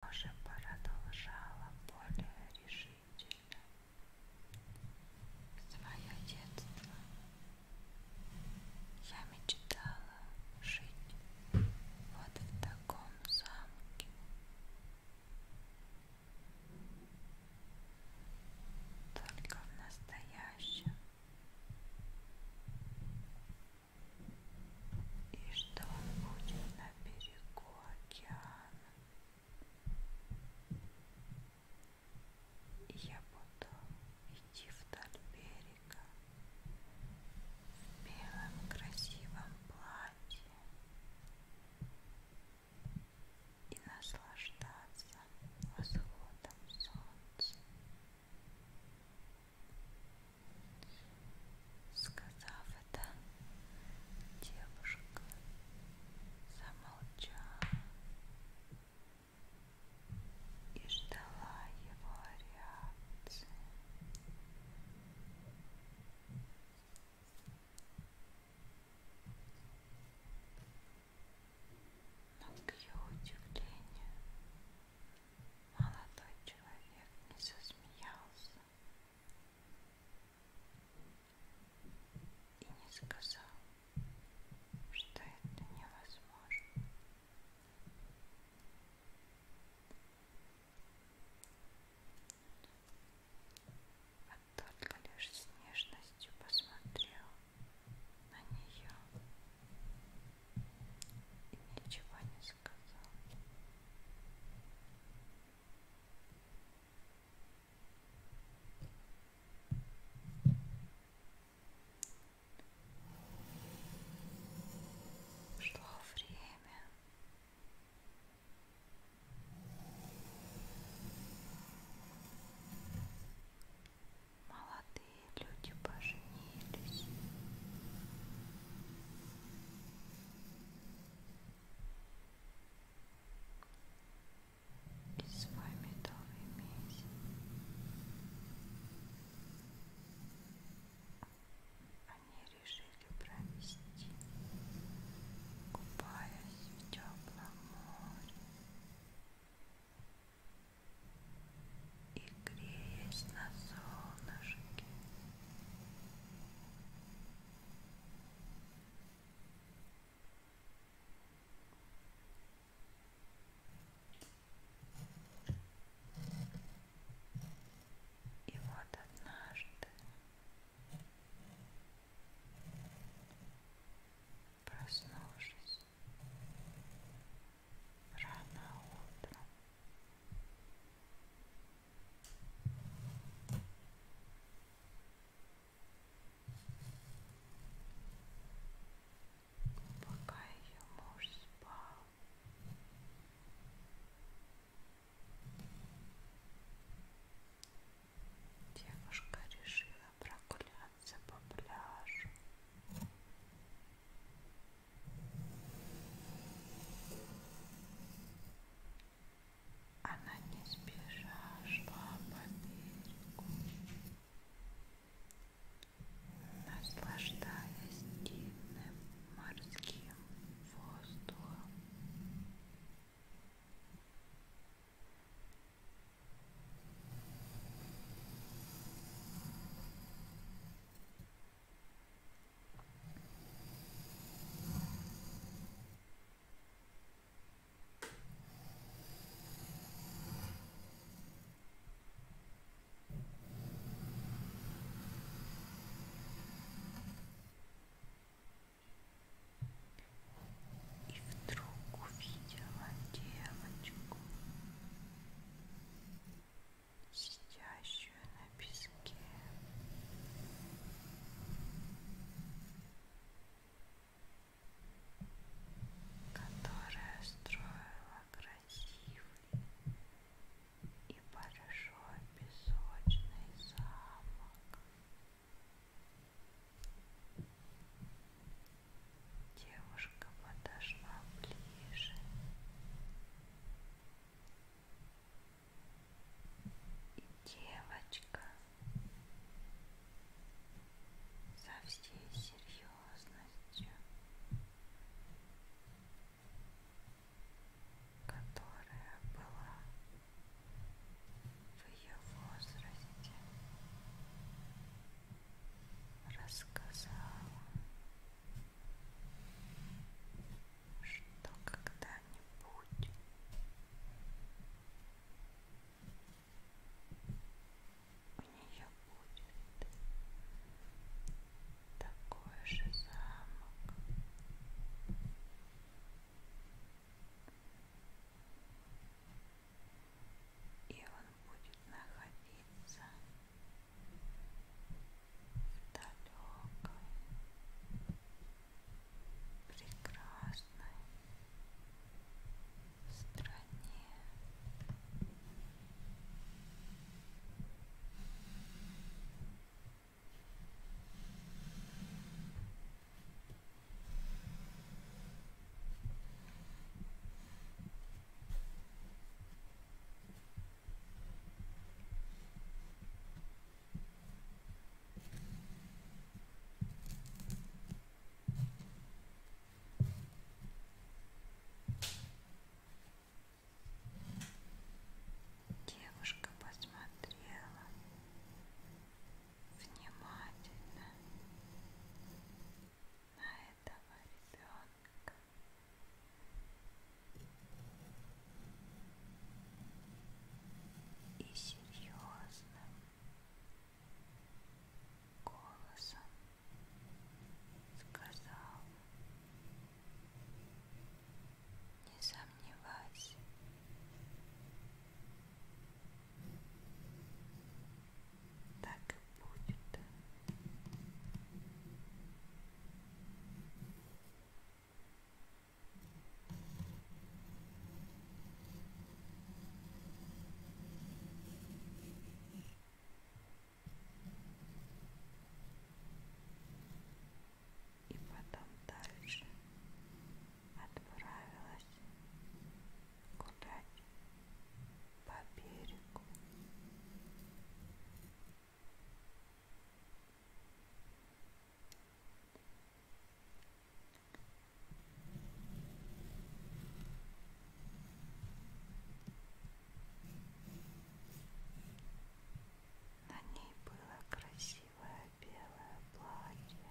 тоже продолжала более решительно свое детство. Я мечтала жить вот в таком замке. Только в настоящем и что он будет на берегу океана. Я буду идти вдоль берега в белом красивом платье и наслаждаться восходом солнца. Сказав это, девушка замолчала и ждала его реакции. Но к ее удивлению Молодой человек не засмеялся и не сказал, что это невозможно. А только лишь с нежностью посмотрел на нее ничего не сказал. Шло время. Молодые люди поженились расслабились. И с вами долгий месяц. Они решили провести, купаясь в теплом море и греясь на солнышке. И вот однажды проснувшись, рано утром. Пока ее муж спал, девушка решила прогуляться по пляжу. Она не спеша шла по берегу, наслаждаясь дивным морским воздухом. И вдруг увидела девочку сидящую на песке. Которая строила красивый и большой песочный замок. Девушка подошла ближе и девочка со всей серьезностью, которая была в ее возрасте, рассказала что когда-нибудь у нее будет такой же замок и он будет находиться в далекой, прекрасной стране. Девушка посмотрела внимательно на этого ребенка. И серьезным голосом сказал, не сомневайся, так и будет. И потом дальше отправилась гулять по берегу. На ней было красивое белое платье.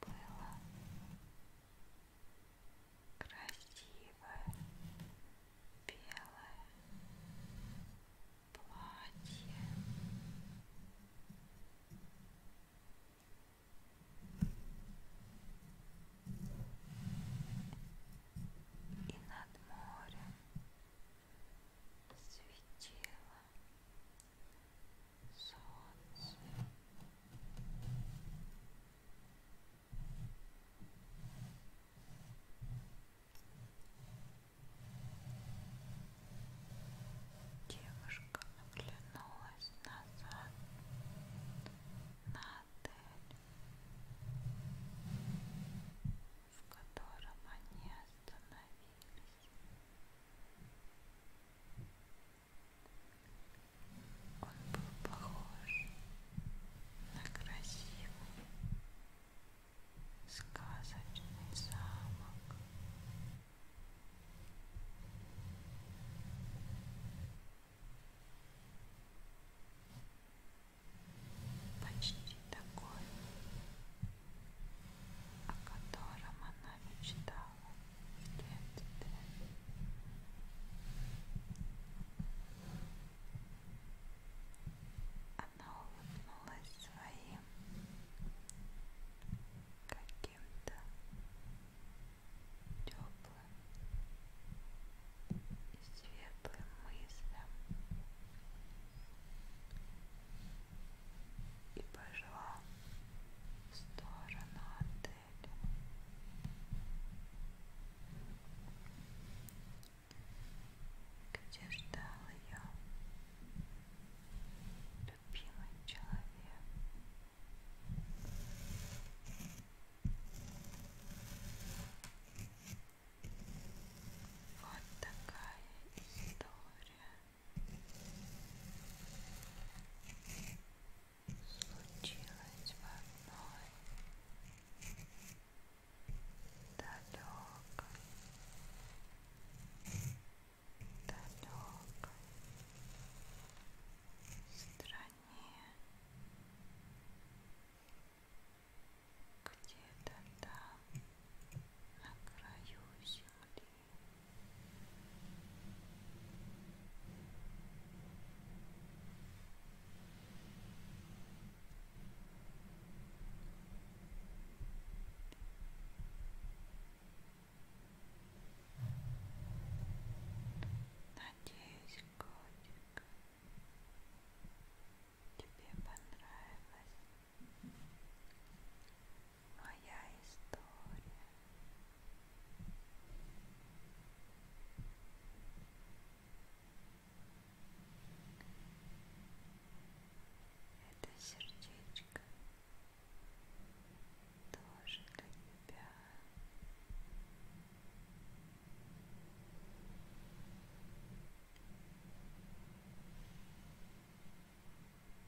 было красивое белое платье. И над морем светило Солнце. Девушка оглянулась назад на отель, в котором они остановились. Он был похож на красивый сказочный замок. Почти такой, о котором она мечтала в детстве. Она улыбнулась своим каким-то теплым и светлым мыслям и пошла в сторону отеля. Где ждал ее любимый человек? Вот такая история случилось в одной далекой, далекой стране где-то там на краю земли Надеюсь, котик, тебе понравилось. Моя история. Это сердечко тоже для тебя. Моя